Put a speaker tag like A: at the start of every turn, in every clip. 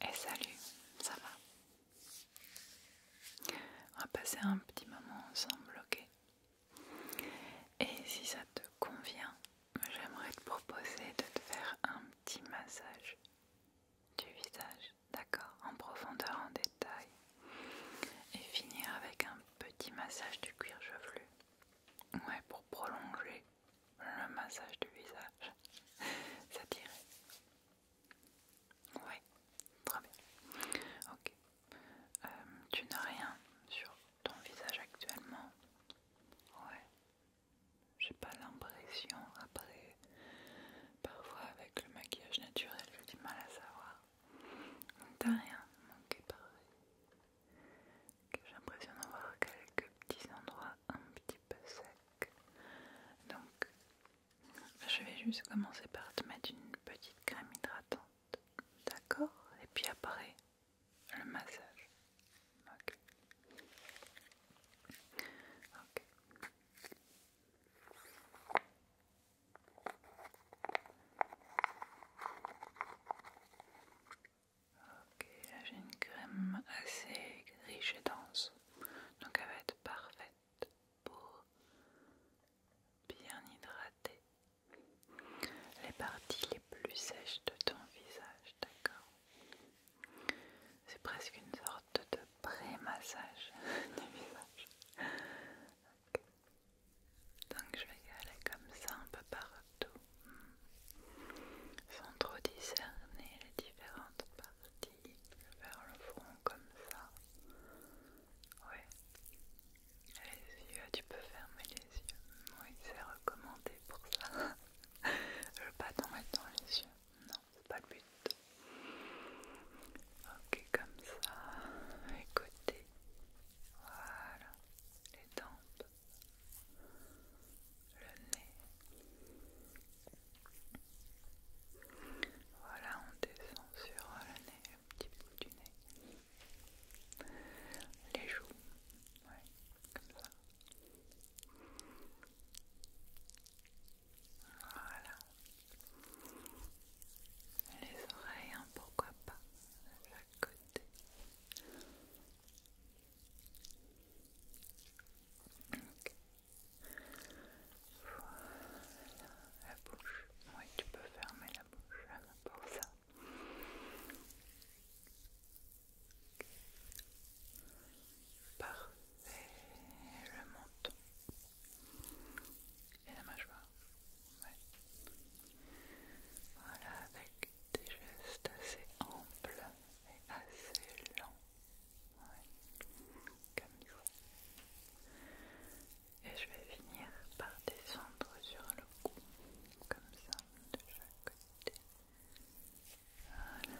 A: Et eh, salut, ça va On va passer un petit moment ensemble, ok Et si ça te convient, j'aimerais te proposer de te faire un petit massage du visage d'accord, en profondeur, en détail. Et finir avec un petit massage du cuir chevelu. Ouais, pour prolonger le massage du visage. Ça tirait. Ouais, très bien. Ok. Euh, tu n'as rien sur ton visage actuellement. Ouais. J'ai pas l'impression après Parfois avec le maquillage naturel, j'ai du mal à savoir. t'as rien manqué parfait. J'ai l'impression d'avoir quelques petits endroits un petit peu secs. Donc je vais juste commencer par te mettre une petite crème hydratante. D'accord Et puis après, le massage. Ok. Ok. Ok, là j'ai une crème assez riche et dense, donc elle va être parfaite pour bien hydrater les parties les plus sèches de ton visage, d'accord C'est presque une sorte de pré-massage du visage. Donc je vais y aller comme ça un peu partout, sans trop discerner les différentes parties. Vers le front comme ça. Oui. Les yeux, tu peux fermer les yeux. Oui, c'est recommandé pour ça. le bâton est dans les yeux. Non c'est pas le but. Ok, comme ça, écoutez, voilà, les tempes, le nez. Voilà, on descend sur le nez, un petit bout du nez. Les joues, oui, comme ça. Voilà. Les oreilles, hein, pourquoi pas, la chaque côté. la bouche. Oui, tu peux fermer la bouche hein, pour ça. Parfait, le menton. Et la mâchoire. Voilà, avec des gestes assez amples et assez lents. comme il faut. Et je vais finir par descendre sur le cou. Comme ça, de chaque côté. Voilà.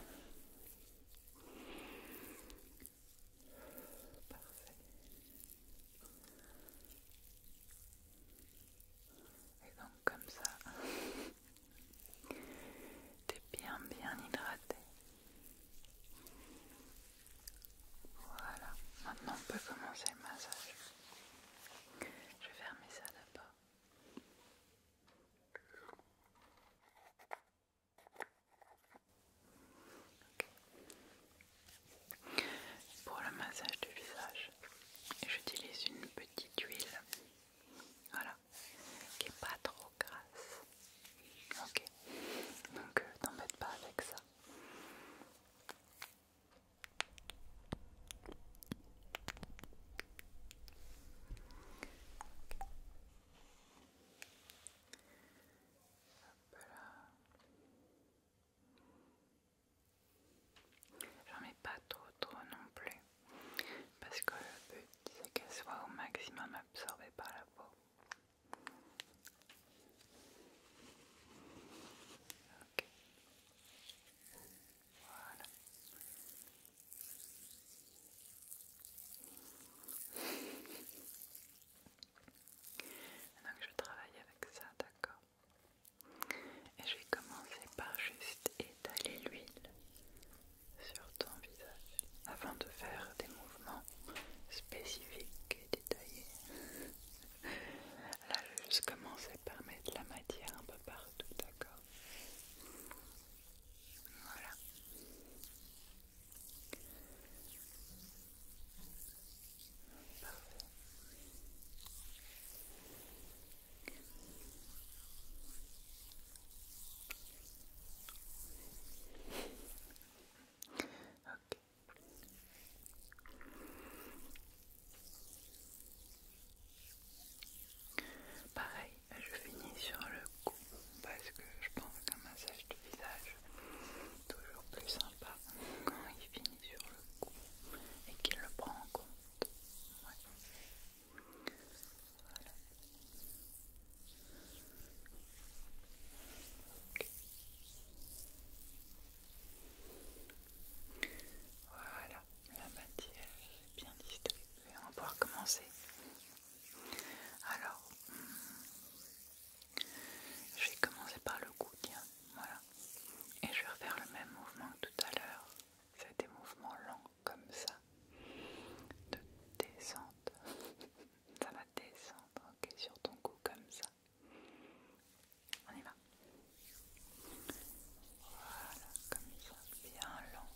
A: Parfait. Et donc comme ça, es bien bien hydraté. Voilà, maintenant on peut commencer le massage. Je vais fermer ça là-bas. Pour le massage du visage, j'utilise une petite huile, voilà, qui n'est pas trop grasse. Ok, donc euh, t'embêtes pas avec ça. J'en mets pas trop trop non plus, parce que le but c'est qu'elle soit au maximum absorbée par la peau. Donc je travaille avec ça, d'accord Et je vais commencer par juste étaler l'huile sur ton visage avant de faire des mouvements spécifiques et détaillés. Là, je vais juste commencer par mettre la matière un peu partout, d'accord Voilà. Pareil, je finis sur le cou parce que je pense qu'un massage de visage est toujours plus sympa quand il finit sur le cou et qu'il le prend en compte. Voilà. Voilà, la matière est bien distribuée. On va pouvoir commencer alors, hmm, je vais commencer par le cou, tiens, voilà. Et je vais refaire le même mouvement que tout à l'heure. C'est des mouvements lents comme ça, de descente. ça va descendre, ok, sur ton cou comme ça. On y va. Voilà, comme ça, bien lent.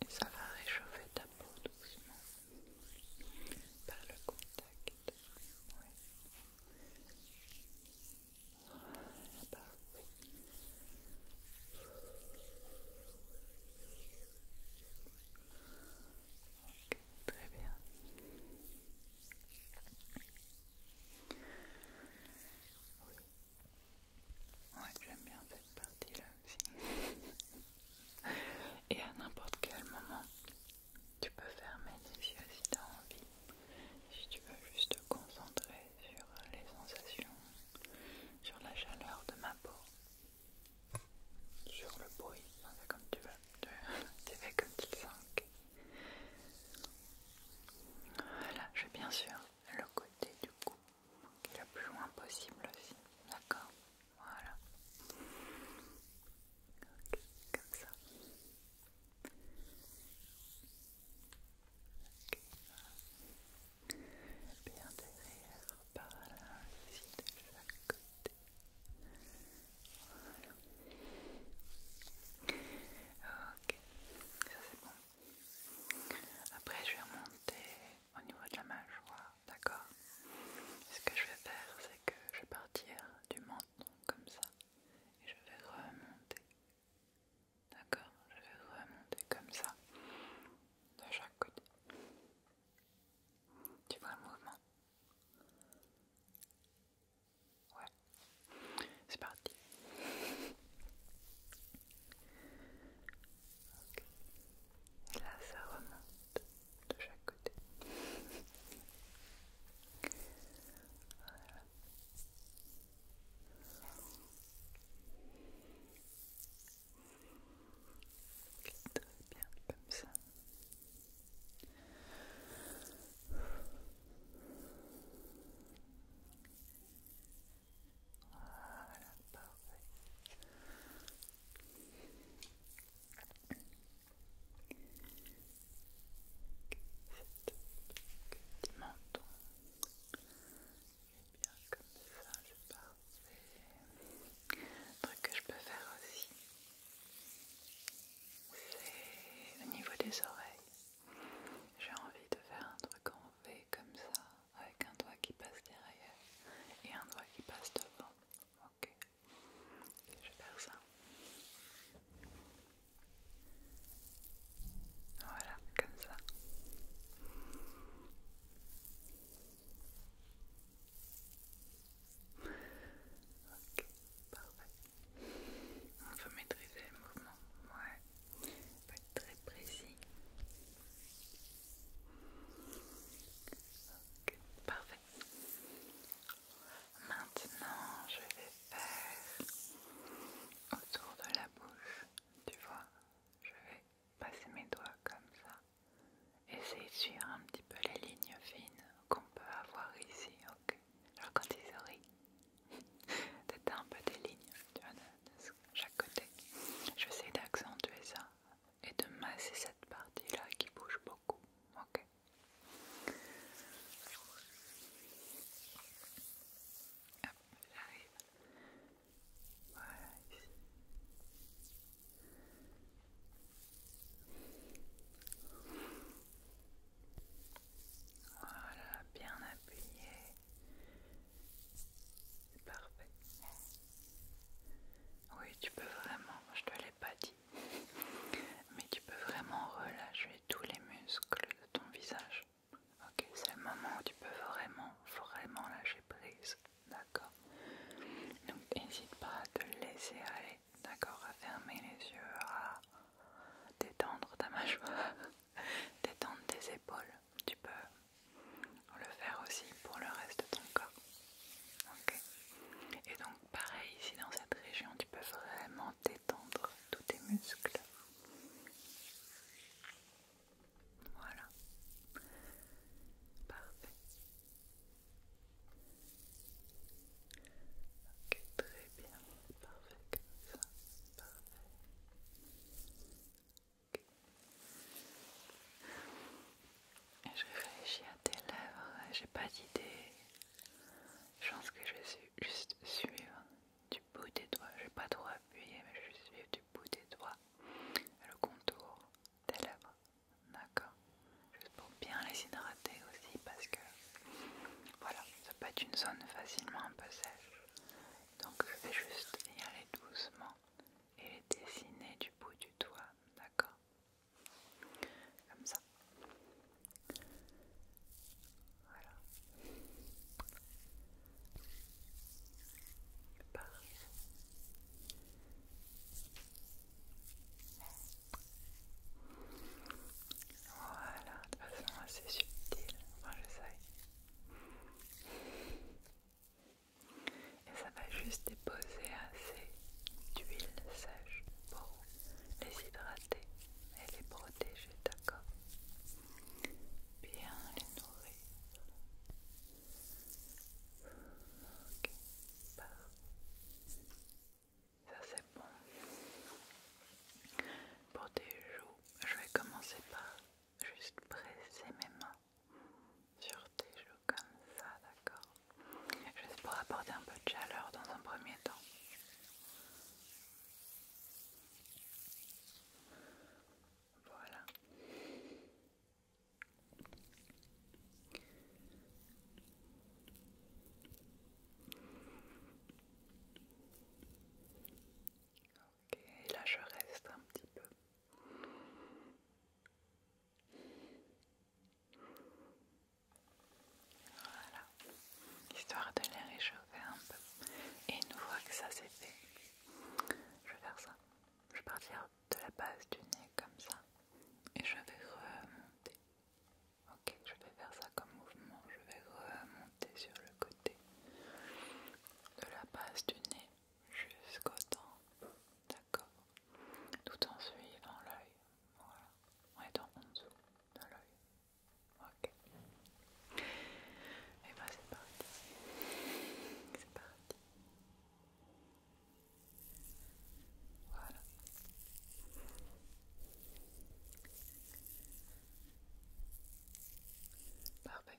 A: Et ça va réchauffer ta peau doucement. Par le contact. Ouais. Ah, parfait. Bah ok, très bien. Oui. Ouais, j'aime bien cette partie-là aussi. Et à n'importe quel moment, tu peux fermer les yeux si tu as envie. Si tu veux juste te concentrer sur les sensations, sur la chaleur de ma peau, sur le bruit, comme tu veux, tu fais comme tu le sens. Voilà, je vais bien sûr le côté du cou, le plus loin possible aussi, d'accord voilà. comme ça. Bien derrière, par là, ici de chaque côté. Voilà. Ok, ça c'est bon. Après, je vais remonter au niveau de la mâchoire, d'accord Ce que je vais faire, c'est que je vais partir du menton comme ça et je vais remonter. D'accord Je vais remonter comme ça de chaque côté. Tu vois le mouvement Ouais. C'est parti. Et là, ça remonte de chaque côté. voilà. très bien, comme ça. Voilà, parfait petit menton. Et bien comme ça, c'est parfait. Un truc que je peux faire aussi, c'est au niveau des oreilles. J'ai envie de faire un truc en V comme ça avec un doigt qui passe derrière et un doigt qui passe devant. Ok, je vais faire ça. Voilà, comme ça. Ok, parfait. On peut maîtriser les mouvements. Ouais, faut être très précis. Ok, parfait. Maintenant, je vais faire autour de la bouche. Tu vois, je vais passer mes doigts comme ça. Essayer de suivre un petit peu les lignes fines qu'on peut avoir ici. Ok. Alors quand ils un peu des lignes tu vois, de, chaque côté. Je vais essayer d'accentuer ça et de masser cette partie-là qui bouge beaucoup. Ok. Voilà, Voilà, bien appuyé. C'est parfait. Oui, tu peux vraiment, je te l'ai pas dit, mais tu peux vraiment relâcher tous les muscles de ton visage. Ok, c'est le moment où tu peux vraiment, vraiment lâcher prise. D'accord Donc n'hésite pas à te laisser aller, d'accord À fermer les yeux, à détendre ta mâchoire, détendre tes épaules, tu peux le faire aussi pour le reste de ton corps. ok Et donc pareil ici dans cette région, tu peux vraiment détendre tous tes muscles. Voilà. Parfait. Ok, très bien. Parfait comme ça. Parfait je réfléchis à tes lèvres, j'ai pas d'idée. Je pense que je vais juste suivre du bout des doigts. Je vais pas trop appuyer, mais je vais suivre du bout des doigts le contour des lèvres. D'accord Juste pour bien les hydrater aussi, parce que voilà, ça peut être une zone facilement un peu sèche. Donc je vais juste y aller doucement et les dessiner du bout du doigt, d'accord Comme ça. Voilà. Voilà, de façon assez subtile, je sais. Et ça va juste déposer assez d'huile sèche pour les hydrater et les protéger, d'accord Bien les nourrir. Ok, ça c'est bon. Pour tes joues, je vais commencer par juste presser mes mains sur tes joues comme ça, d'accord Juste pour apporter un peu de chaleur dans un premier temps. Voilà. Ok, là je reste un petit peu. Voilà, histoire de les réchauffer un peu. Et une fois que ça c'est fait, je vais faire ça. Je vais partir de la base du nez comme ça. Et je vais remonter. Ok, je vais faire ça comme mouvement. Je vais remonter sur le côté de la base du nez jusqu'au temps, d'accord Tout en suivant l'œil, voilà, On est en dessous de l'œil, ok Et eh bah ben, c'est parti, c'est parti Voilà Parfait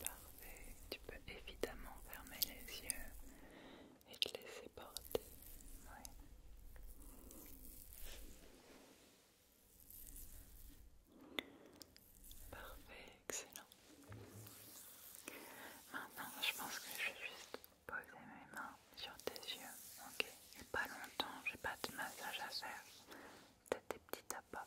A: parfait. Tu peux évidemment fermer les yeux et te laisser porter. Ouais. Parfait, excellent. Maintenant, je pense que je vais juste poser mes mains sur tes yeux. Ok, et pas longtemps, j'ai pas de massage à faire. Peut-être des petits tapas,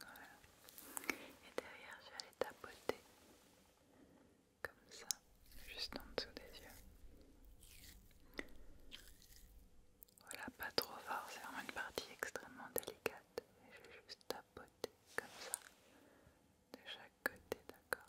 A: Voilà. Et derrière, je vais aller tapoter comme ça, juste en dessous des yeux. Voilà, pas trop fort, c'est vraiment une partie extrêmement délicate. Et je vais juste tapoter comme ça, de chaque côté, d'accord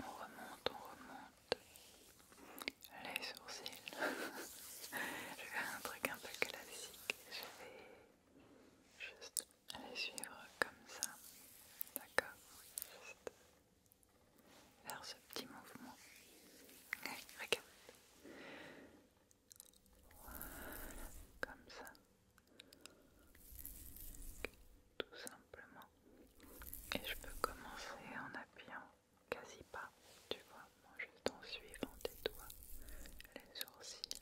A: On remonte, on remonte les sourcils. je vais faire un truc un peu classique. Je vais juste les suivre comme ça. D'accord Juste faire ce petit mouvement. Allez, regarde. Voilà, comme ça. Tout simplement. Et je peux commencer en appuyant quasi pas, tu vois, juste en suivant tes doigts, les sourcils.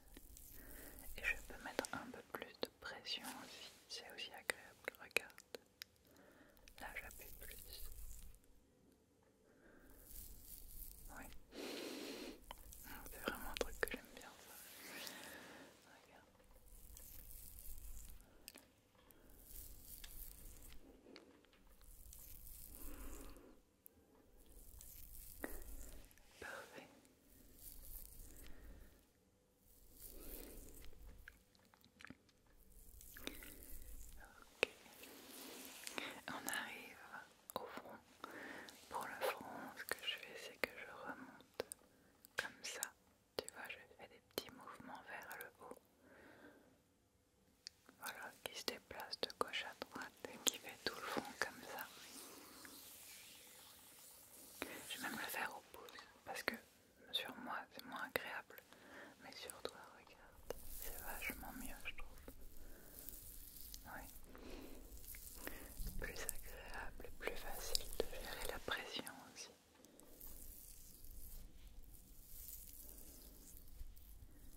A: Et je peux mettre un peu plus de pression aussi, c'est aussi agréable, regarde. Là j'appuie plus. Oui, c'est vraiment un truc que j'aime bien ça. Regarde. Parfait. Ok. On arrive au front. Pour le front, ce que je fais, c'est que je remonte comme ça. Tu vois, je fais des petits mouvements vers le haut. Voilà, qui se déplace de gauche à droite et qui fait tout le front comme ça. Je vais même le faire au pouce parce que sur moi c'est moins agréable, mais sur toi, regarde, c'est vachement mieux, je trouve. Oui. Plus agréable, plus facile de gérer la pression aussi.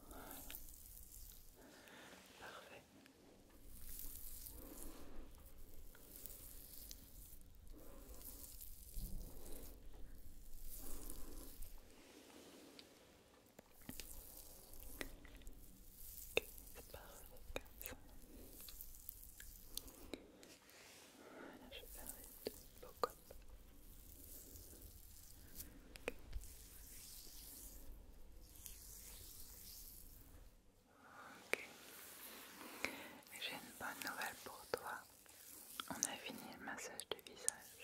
A: Parfait je vais faire j'ai une bonne nouvelle pour toi. On a fini le massage du visage.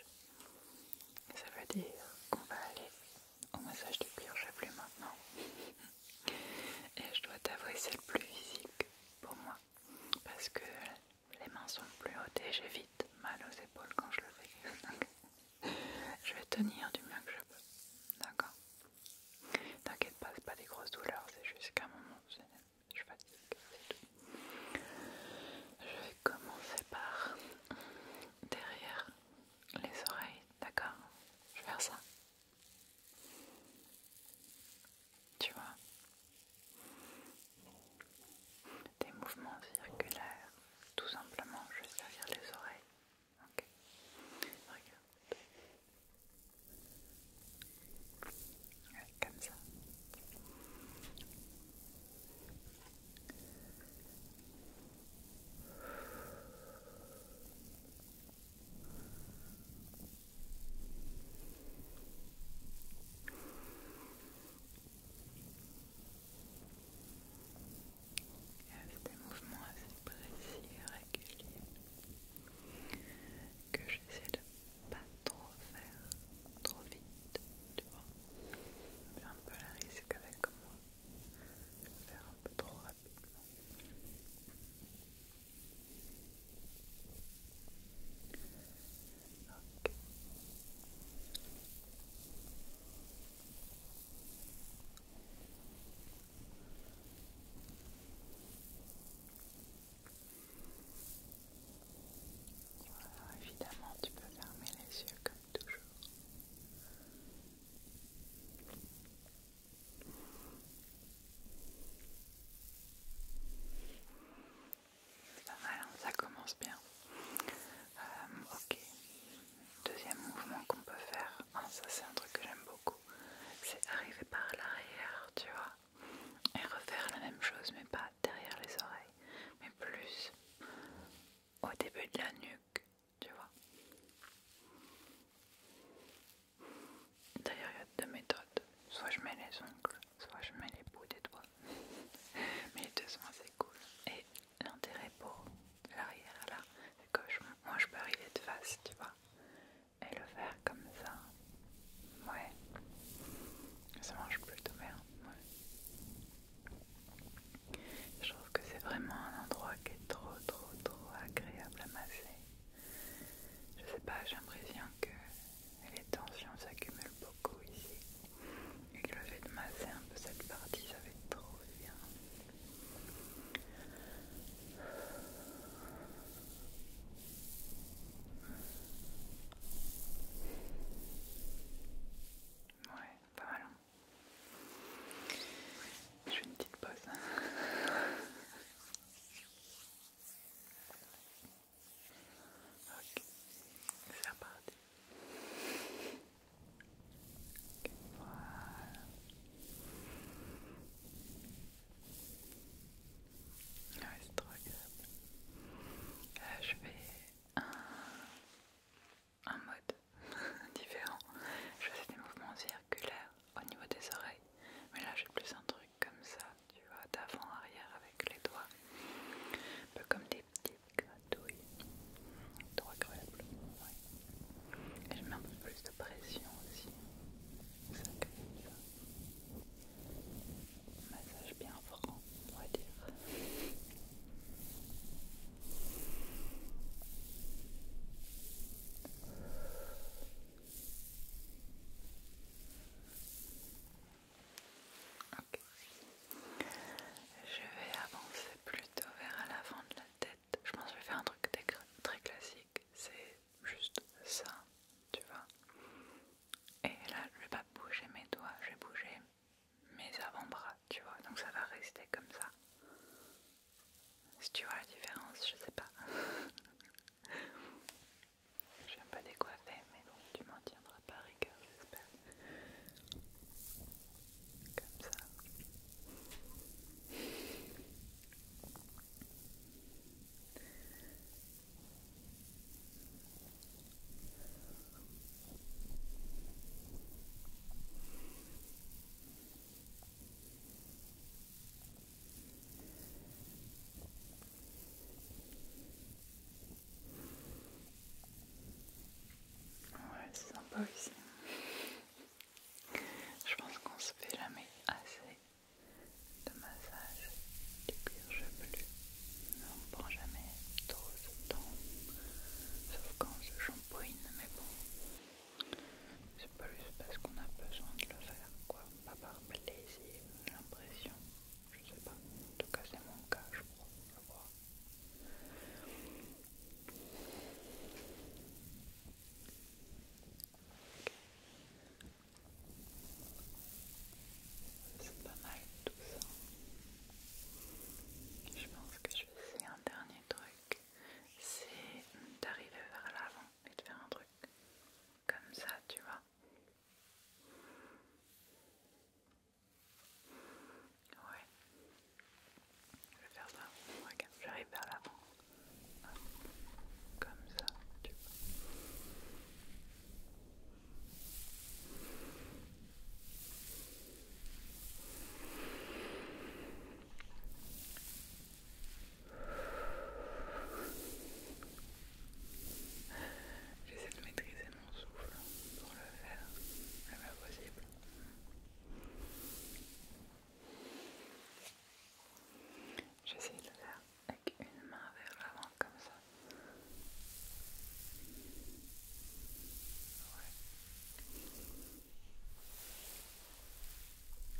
A: Ça veut dire qu'on va aller au massage du pire je plus maintenant. Et je dois t'avouer, c'est le plus physique pour moi parce que les mains sont plus hautes et j'ai vite mal aux épaules quand je le fais. je vais tenir du mieux que je peux. D'accord T'inquiète pas, c'est pas des grosses douleurs, c'est juste qu'à un moment je Je vais commencer par derrière les oreilles, D'accord Je vais faire ça. Tu vois Des mouvements circulaires. Tout simplement, je vais servir les oreilles. Ok Regarde. comme ça. Avec des mouvements assez précis et réguliers que j'essaie de pas trop faire trop vite, tu vois. J'ai un peu la risque avec moi faire un trop rapidement. évidemment, tu peux fermer les yeux comme toujours. C'est hein, ça commence bien. Euh, ok. Deuxième mouvement qu'on peut faire, ah, ça c'est un truc que j'aime beaucoup, c'est arriver par l'arrière, tu vois, et refaire la même chose, mais pas derrière les oreilles, mais plus au début de la nuque tu vois. D'ailleurs, il y a deux méthodes. Soit je mets les ongles, soit je mets les bouts des doigts. Mais les deux sont assez cool. Et l'intérêt pour l'arrière là, c'est que moi je peux arriver de face, tu vois. Et le faire comme ça. Ouais. Ça mange plutôt bien. Je trouve que c'est vraiment un endroit qui est trop trop trop agréable à masser. Je sais pas, j'ai l'impression que les tensions s'accumulent beaucoup ici et que le fait de masser un peu cette partie, ça fait trop bien. Ouais, pas mal. Hein. Je fais une petite pause. ok, c'est reparti. Okay, voilà. Ouais, c'est trop agréable. Là, euh, je fais un mode différent. Je faisais des mouvements circulaires au niveau des oreilles, mais là j'ai plus un truc comme ça, tu vois, d'avant-arrière avec les doigts, un peu comme des petites gratouilles, agréable. Et je mets un peu plus de pression aussi, Massage bien franc, on va dire. Ok. Je vais avancer plutôt vers l'avant de la tête. Je pense que je vais faire un truc très classique. C'est juste ça, tu vois. Et là, je vais pas bouger mes doigts, je vais bouger mes avant-bras, tu vois, donc ça va rester comme ça. Si tu vois la différence, je sais pas. je pas décoiffer, mais bon, tu m'en tiendras pas rigueur, j'espère. Comme ça. Ouais, c'est sympa aussi. Je pense qu'on se fait jamais assez de massage du cuir chevelu. On ne prend jamais trop de temps, sauf quand on se change mais bon, c'est pas juste parce qu'on a besoin de le faire, quoi, pas par plaisir, l'impression, je sais pas, en tout cas c'est mon cas, je crois, je crois. C'est pas mal tout ça. Je pense que c'est un dernier truc, c'est d'arriver vers l'avant et de faire un truc comme ça, tu vois. Ouais. Je vais faire ça. Regarde, j'arrive vers l'avant. Comme ça, tu vois. J'essaie de maîtriser mon souffle pour le faire le pas possible. J'essaie de le faire avec une main vers l'avant comme ça.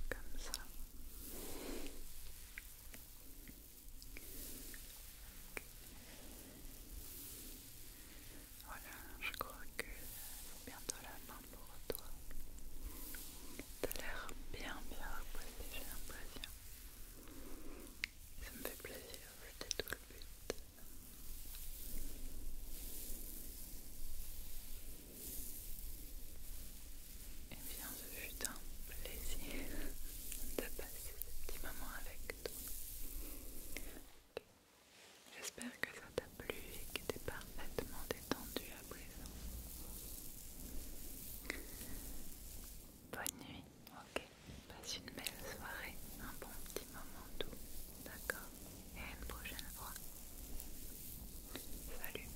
A: Comme ça. Voilà, je crois que c'est bientôt la fin pour toi. T'as l'air bien bien reposé, j'ai plaisir. Ça me fait plaisir, j'étais tout le but. Et eh bien, ce fut un plaisir de passer ce petit moment avec toi. J'espère que ça t'a plu et que t'es parfaitement détendu à présent. Bonne nuit, ok. Passe une belle soirée, un bon petit moment doux. D'accord. Et à une prochaine fois. Salut.